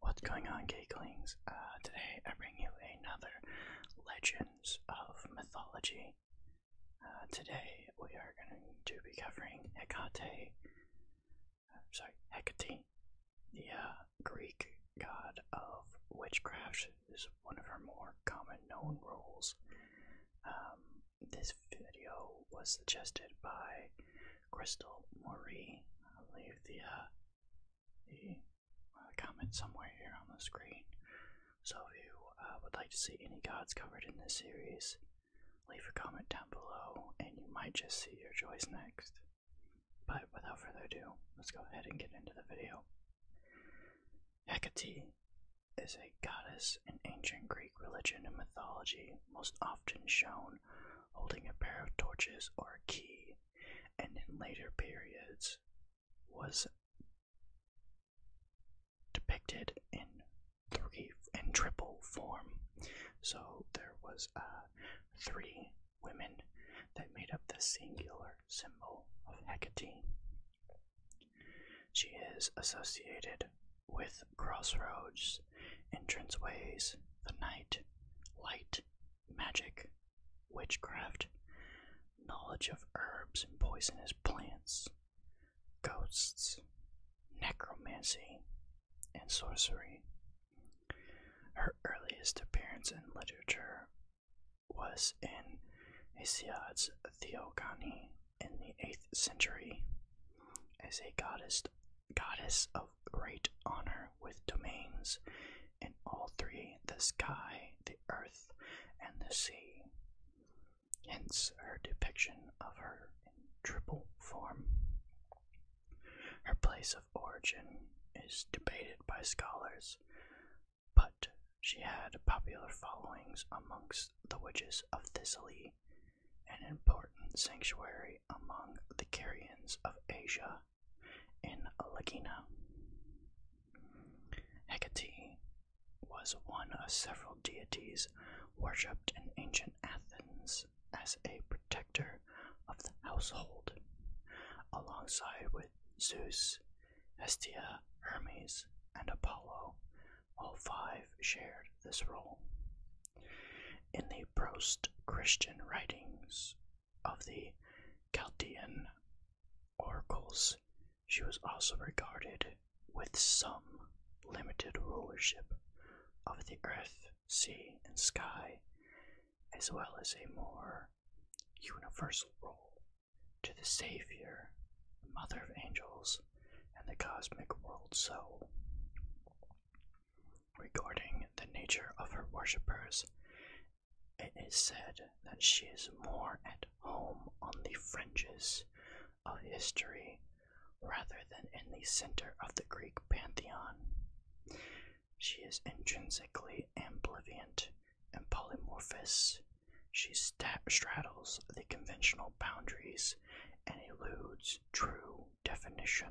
What's going on, Geeklings? Uh, today I bring you another Legends of Mythology. Uh, today we are going to be covering Hecate. Uh, sorry, Hecate, the Greek god of witchcraft one of her more common known roles. Um, this video was suggested by Crystal Marie. I'll leave the, uh, the uh, comment somewhere here on the screen. So if you uh, would like to see any gods covered in this series, leave a comment down below and you might just see your choice next. But without further ado, let's go ahead and get into the video. Hecate is a goddess in ancient Greek religion and mythology, most often shown holding a pair of torches or a key, and in later periods was depicted in three in triple form. So there was uh, three women that made up the singular symbol of Hecate. She is associated with crossroads, entranceways, the night, light, magic, witchcraft, knowledge of herbs and poisonous plants, ghosts, necromancy, and sorcery. Her earliest appearance in literature was in Hesiod's Theogony in the 8th century as a goddess, goddess of great honor with domains in all three the sky, the earth, and the sea. Hence her depiction of her triple form. Her place of origin is debated by scholars, but she had popular followings amongst the witches of Thessaly, an important sanctuary among the Carians of Asia in Lagina. Hecate was one of several deities worshipped in ancient Athens as a protector of the household, alongside with Zeus Hestia, Hermes, and Apollo, all five shared this role. In the Prost Christian writings of the Chaldean oracles, she was also regarded with some limited rulership of the earth, sea, and sky, as well as a more universal role to the Savior, Mother of Angels, and the cosmic world soul. Regarding the nature of her worshippers, it is said that she is more at home on the fringes of history rather than in the center of the Greek pantheon. She is intrinsically ambivalent and polymorphous. She straddles the conventional boundaries and eludes true definition.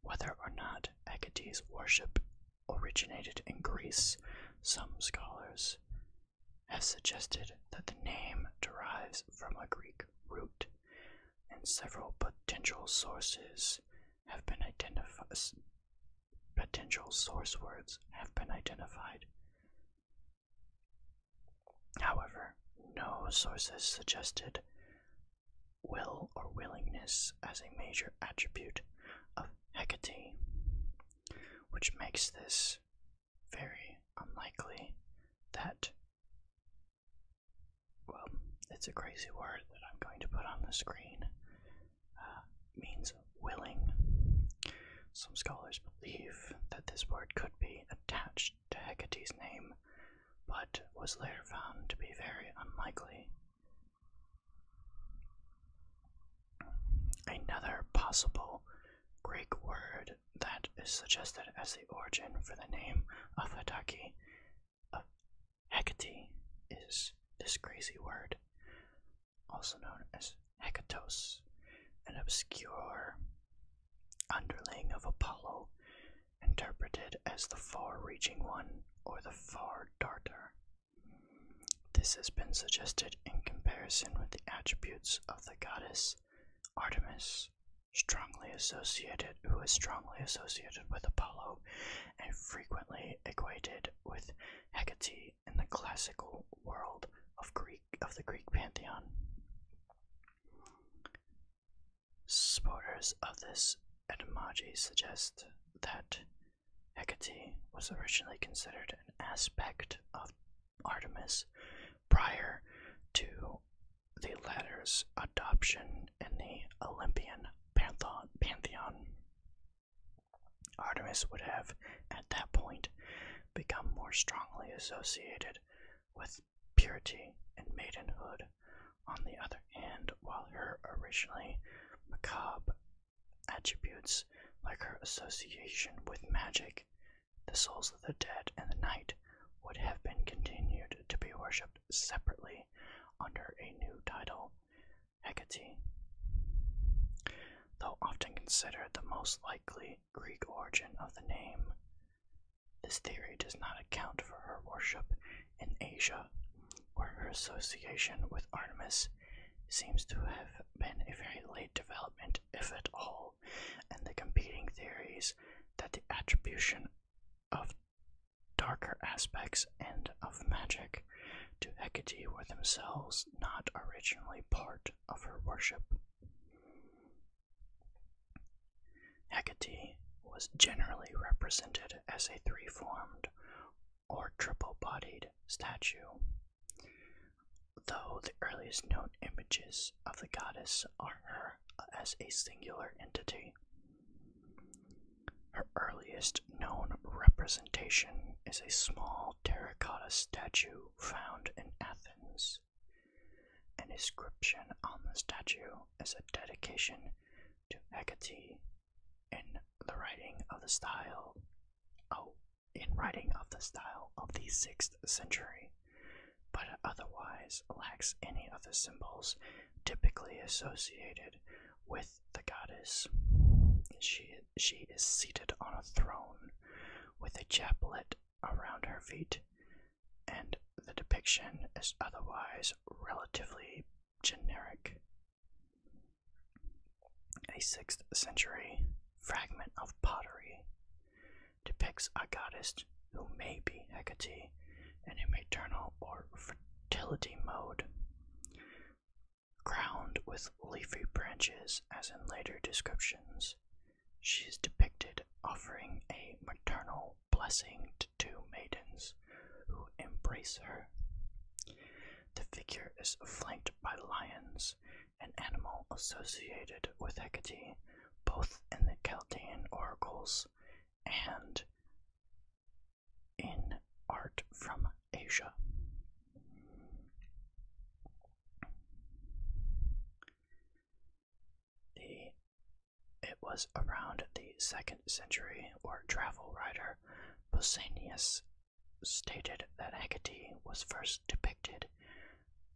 Whether or not Agate's worship originated in Greece, some scholars have suggested that the name derives from a Greek root, and several potential sources have been identified. Potential source words have been identified. However, no sources suggested will or willingness as a major attribute of Hecate, which makes this very unlikely that well, it's a crazy word that I'm going to put on the screen, uh, means willing. Some scholars believe that this word could be attached to Hecate's name, but was later found to be very unlikely. Another possible Greek word that is suggested as the origin for the name of Hataki, uh, Hecate is this crazy word, also known as Hecatos, an obscure underling of Apollo, interpreted as the far reaching one or the far darter. This has been suggested in comparison with the attributes of the goddess Artemis, strongly associated who is strongly associated with Apollo and frequently equated with Hecate in the classical world of Greek of the Greek pantheon. Supporters of this etymology suggest that Hecate was originally considered an aspect of Artemis prior to the latter's adoption in the Olympian pantheon. Artemis would have, at that point, become more strongly associated with purity and maidenhood. On the other hand, while her originally macabre attributes, like her association with magic, the souls of the dead, and the night, would have been continued to be worshipped separately under a new title, Hecate. Though often considered the most likely Greek origin of the name, this theory does not account for her worship in Asia, where her association with Artemis seems to have been a very late development, if at all, and the competing theories that the attribution of darker aspects and of magic to Hecate were themselves not originally part of her worship. Hecate was generally represented as a three formed or triple bodied statue, though the earliest known images of the goddess are her as a singular entity. Her earliest known representation is a small terracotta statue found in Athens. An inscription on the statue is a dedication to Hecate in the writing of the style oh in writing of the style of the sixth century, but otherwise lacks any of the symbols typically associated with the goddess. She, she is seated on a throne with a chaplet around her feet, and the depiction is otherwise relatively generic. A 6th century fragment of pottery depicts a goddess who may be Hecate, and a maternal or fertility mode, crowned with leafy branches, as in later descriptions. She is depicted offering a maternal blessing to two maidens who embrace her. The figure is flanked by lions, an animal associated with Hecate both in the Chaldean oracles and in art from Asia. The it was around the second century Or travel writer Pausanias stated that Hecate was first depicted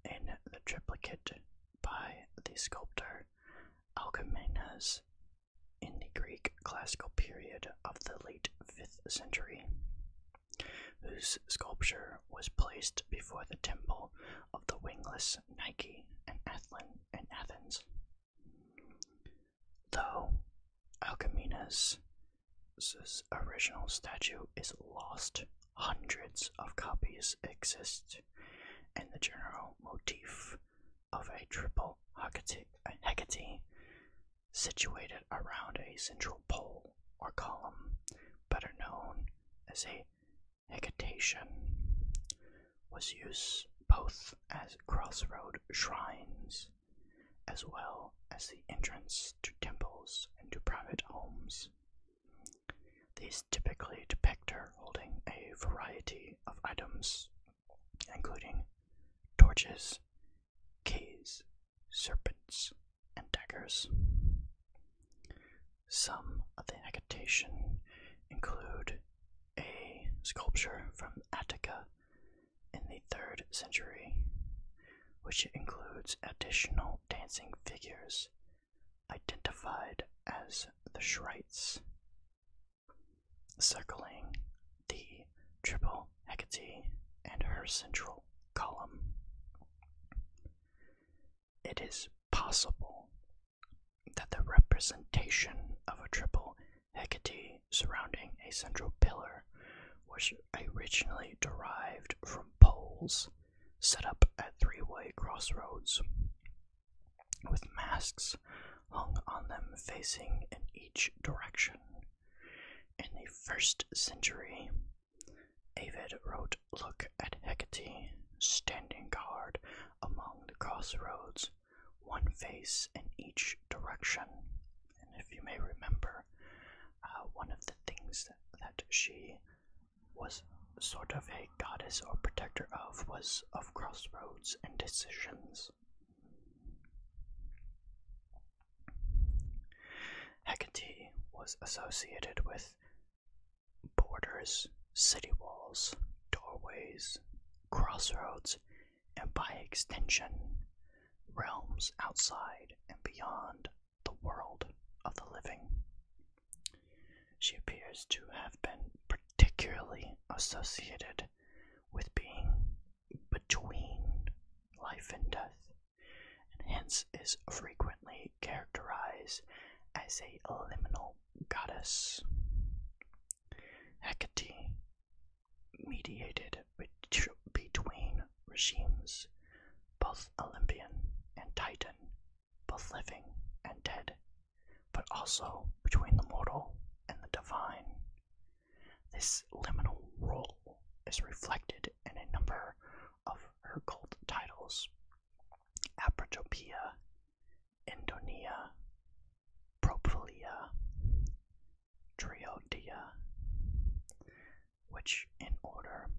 in the triplicate by the sculptor Alcamenes in the Greek classical period of the late 5th century, whose sculpture was placed before the temple of the wingless Nike in Athens. Though Alcamenes' original statue is lost, hundreds of copies exist and the general motif of a triple Hecate, situated around a central pole or column, better known as a hecatation, was used both as crossroad shrines as well as the entrance to temples and to private homes. These typically depict her holding a variety of items, including torches, keys, serpents, and daggers. Some of the habitation include a sculpture from Attica in the 3rd century, which includes additional dancing figures identified as the Shrites, circling the triple hecaty and her central column. It is possible that the representation of a triple hecaty surrounding a central pillar was originally derived from poles set up at three way crossroads with masks hung on them facing in each direction. In the first century, Avid wrote, Look at Hecate standing guard among the crossroads, one face in each direction. And if you may remember, uh, one of the things that she was sort of a goddess or protector of was of crossroads and decisions. Hecate was associated with borders, city walls, doorways, crossroads, and by extension, realms outside and beyond the world of the living. She appears to have been particularly associated with being between life and death, and hence is frequently characterized as a liminal goddess. Hecate mediated between regimes, both Olympian and Titan, both living and dead, but also between the mortal and the divine. This liminal role is reflected in a number of her cult titles Apotopia, Indonia, Propylia, Triodia, which in order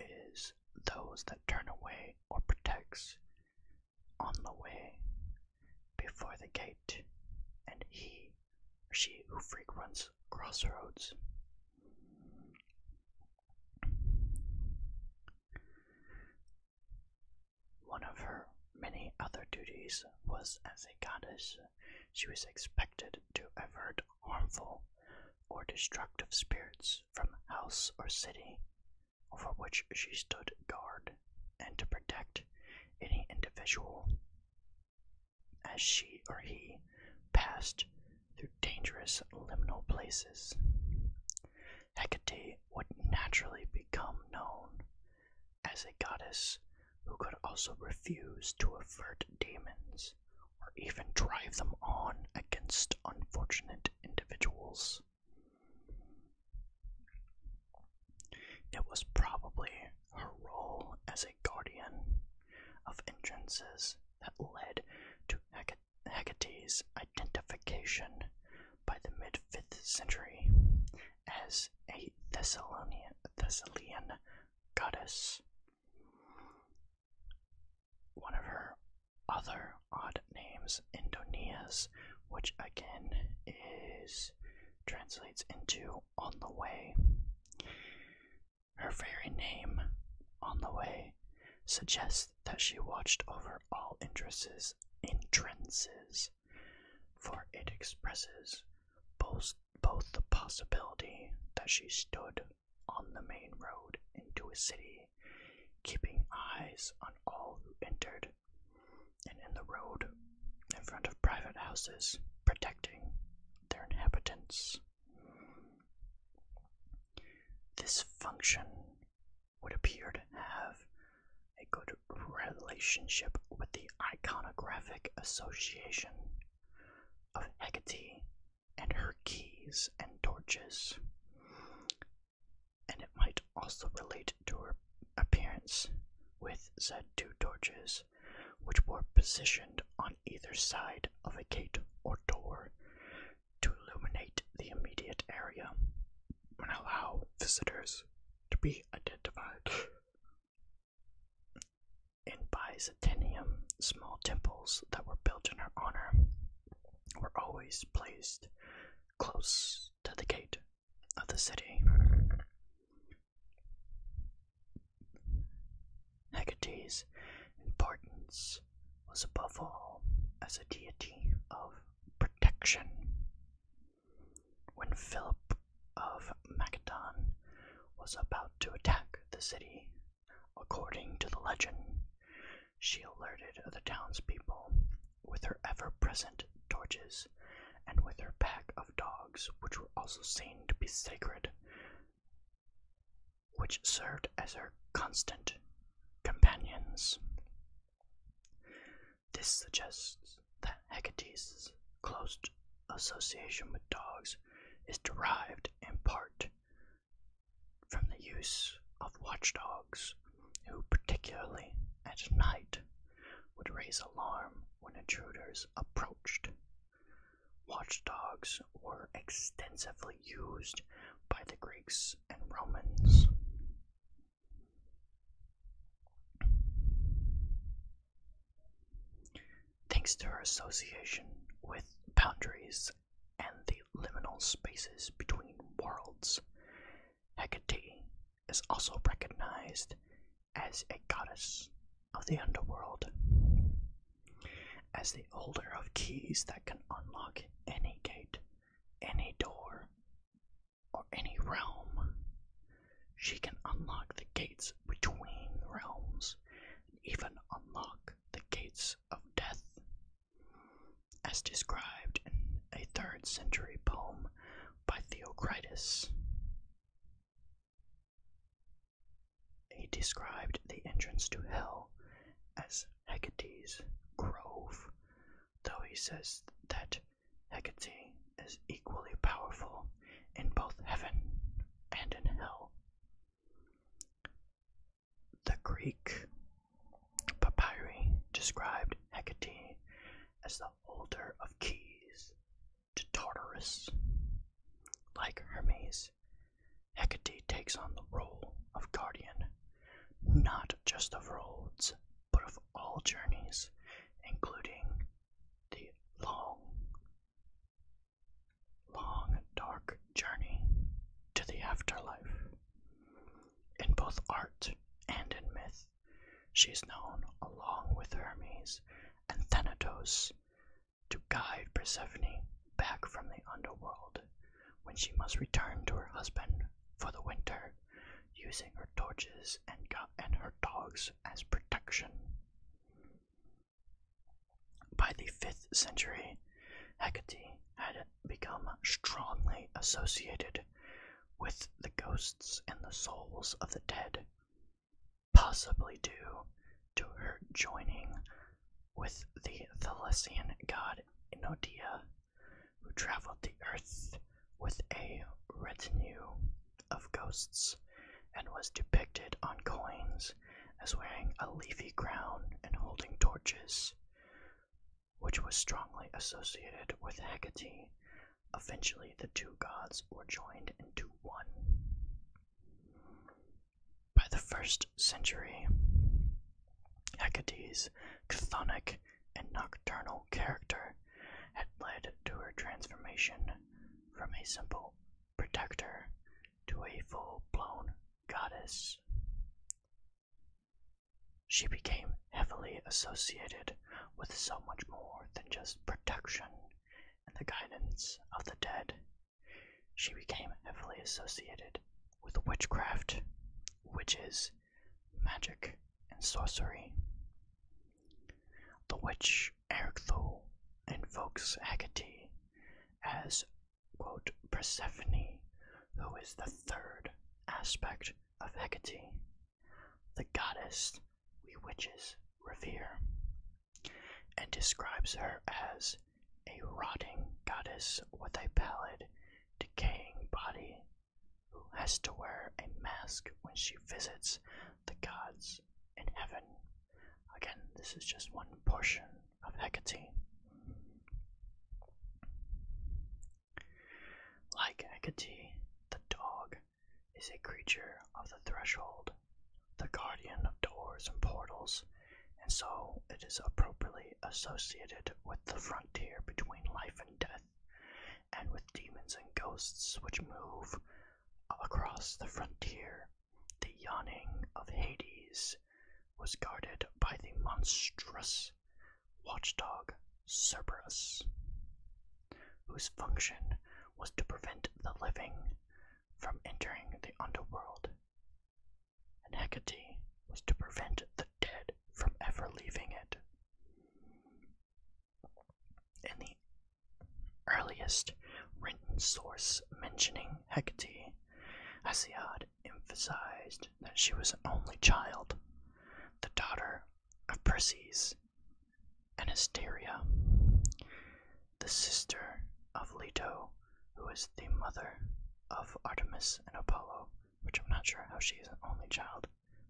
is those that turn away or protects on the way before the gate, and he she who frequents crossroads. One of her many other duties was as a goddess, she was expected to avert harmful or destructive spirits from house or city over which she stood guard, and to protect any individual as she or he passed through dangerous liminal places. Hecate would naturally become known as a goddess who could also refuse to avert demons or even drive them on against unfortunate individuals. It was probably her role as a guardian of entrances that led to Hec Hecate's identification by the mid 5th century as a Thessalian goddess. One of her other odd names, Indonias, which again is translates into on the way. Her very name, on the way, suggests that she watched over all entrances, entrances, for it expresses both both the possibility that she stood on the main road into a city, keeping eyes on all who entered, and in the road, in front of private houses, protecting their inhabitants. This function would appear to have a good relationship with the iconographic association of Hecate and her keys and torches, and it might also relate to her appearance with said two torches, which were positioned on either side of a gate or door to illuminate the immediate area and allow visitors to be identified in Byzantium, small temples that were built in her honor were always placed close to the gate of the city. Hecate's importance was above all as a deity of protection. When Philip of Macedon was about to attack the city, According to the legend, she alerted the townspeople with her ever present torches and with her pack of dogs, which were also seen to be sacred, which served as her constant companions. This suggests that Hecate's close association with dogs is derived in part from the use of watchdogs, who, particularly at night, would raise alarm when intruders approached. Watchdogs were extensively used by the Greeks and Romans thanks to her association with boundaries and the liminal spaces between worlds. Hecate is also recognized as a goddess of the underworld. As the holder of keys that can unlock any gate, any door, or any realm, she can unlock the gates between realms and even unlock the gates of death. As described in a third century poem by Theocritus, he described the entrance to hell as Hecate's grove, though he says that Hecate is equally powerful in both heaven and in hell. The Greek papyri described Hecate as the holder of keys to Tartarus. Like Hermes, Hecate takes on the role of guardian, not just of roads, but of all journeys, including the long long, dark journey to the afterlife. In both art and in myth, she is known along with Hermes and Thanatos to guide Persephone back from the underworld when she must return to her husband for the winter using her torches and, and her dogs as protection. By the 5th century, Hecate had become strongly associated with the ghosts and the souls of the dead, possibly due to her joining with the Thessalian god Enodia, who traveled the earth with a retinue of ghosts and was depicted on coins as wearing a leafy crown and holding torches, which was strongly associated with Hecate. Eventually, the two gods were joined into one. By the first century, Hecate's chthonic and nocturnal character had led to her transformation from a simple protector to a full blown goddess. She became heavily associated with so much more than just protection and the guidance of the dead. She became heavily associated with witchcraft, witches, magic, and sorcery. The witch Erictho invokes Hecate as, Persephone, who is the third aspect of Hecate, the goddess we witches revere, and describes her as a rotting goddess with a pallid, decaying body who has to wear a mask when she visits the gods in heaven. Again, this is just one portion of Hecate. Like Hecate, the dog is a creature of the threshold, the guardian of doors and portals, and so it is appropriately associated with the frontier between life and death, and with demons and ghosts which move across the frontier the yawning of Hades was guarded by the monstrous watchdog Cerberus, whose function was to prevent the living from entering the underworld, and Hecate was to prevent the dead from ever leaving it. In the earliest written source mentioning Hecate, Hesiod emphasized that she was an only child, the daughter of Perses and Hysteria, the sister of Leto, who is the mother of Artemis and Apollo, which I'm not sure how she is an only child,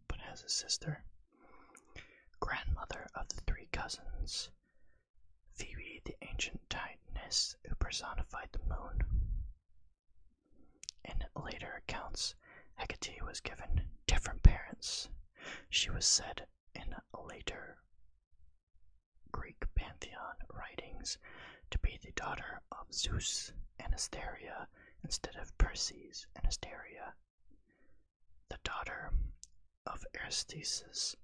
but has a sister, grandmother of the three cousins Phoebe, the ancient titaness who personified the moon. In later accounts, Hecate was given different parents. She was said in later Greek pantheon writings to be the daughter of Zeus and Asteria instead of Perses and Asteria, the daughter of Aristaeus,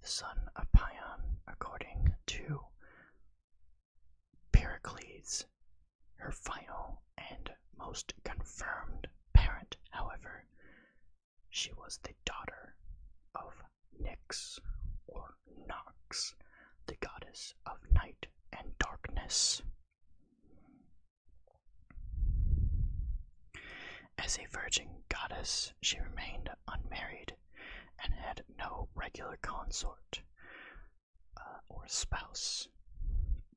the son of Pion, according to Pericles, her final and most confirmed parent, however, she was the daughter of Nyx or Nox, the goddess of night and darkness. As a virgin goddess, she remained unmarried and had no regular consort uh, or spouse.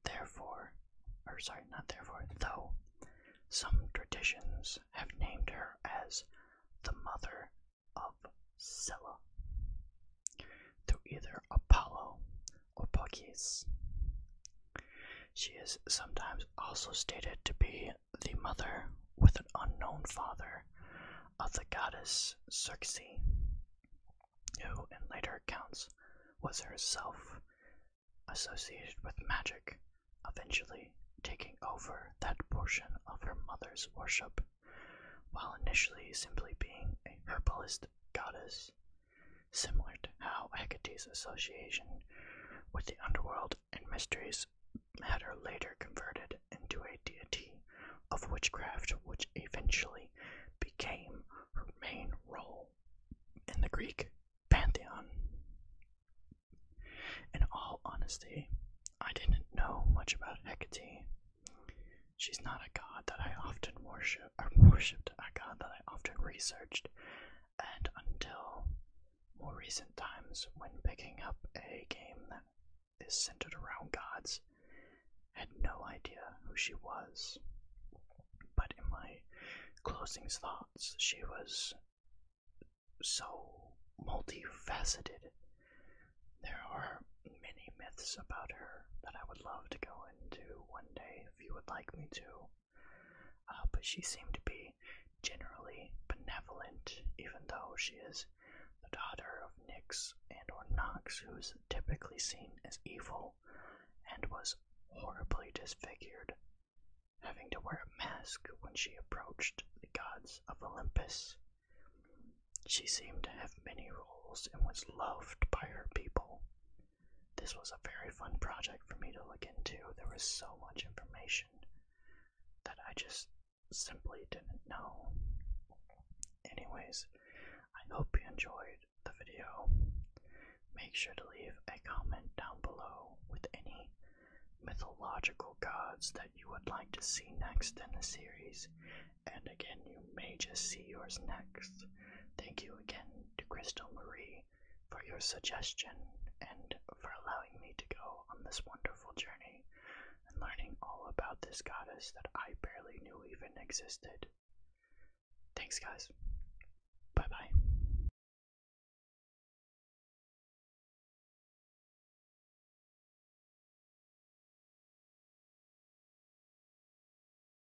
Therefore, or sorry, not therefore, though, some traditions have named her as the mother of Scylla, through either Apollo or Porky's. She is sometimes also stated to be the mother with an unknown father of the goddess Circe, who in later accounts was herself associated with magic, eventually taking over that portion of her mother's worship, while initially simply being a herbalist goddess similar to how Hecate's association with the underworld and mysteries had her later converted into a deity of witchcraft, which eventually became her main role in the Greek pantheon. In all honesty, I didn't know much about Hecate. She's not a god that I often worship, and worshipped god that I often researched, and until more recent times, when picking up a game that is centered around gods, had no idea who she was. But in my closing thoughts, she was so multifaceted. There are many myths about her that I would love to go into one day if you would like me to. Uh, but she seemed to be generally benevolent, even though she is the daughter of Nix and or Nox, who's typically seen as evil and was horribly disfigured, having to wear a mask when she approached the gods of Olympus. She seemed to have many roles and was loved by her people, this was a very fun project for me to look into. There was so much information that I just simply didn't know. Anyways, I hope you enjoyed the video. Make sure to leave a comment down below with any mythological gods that you would like to see next in the series, and again, you may just see yours next. Thank you again to Crystal Marie for your suggestion and for allowing me to go on this wonderful journey and learning all about this goddess that I barely knew even existed. Thanks, guys. Bye bye.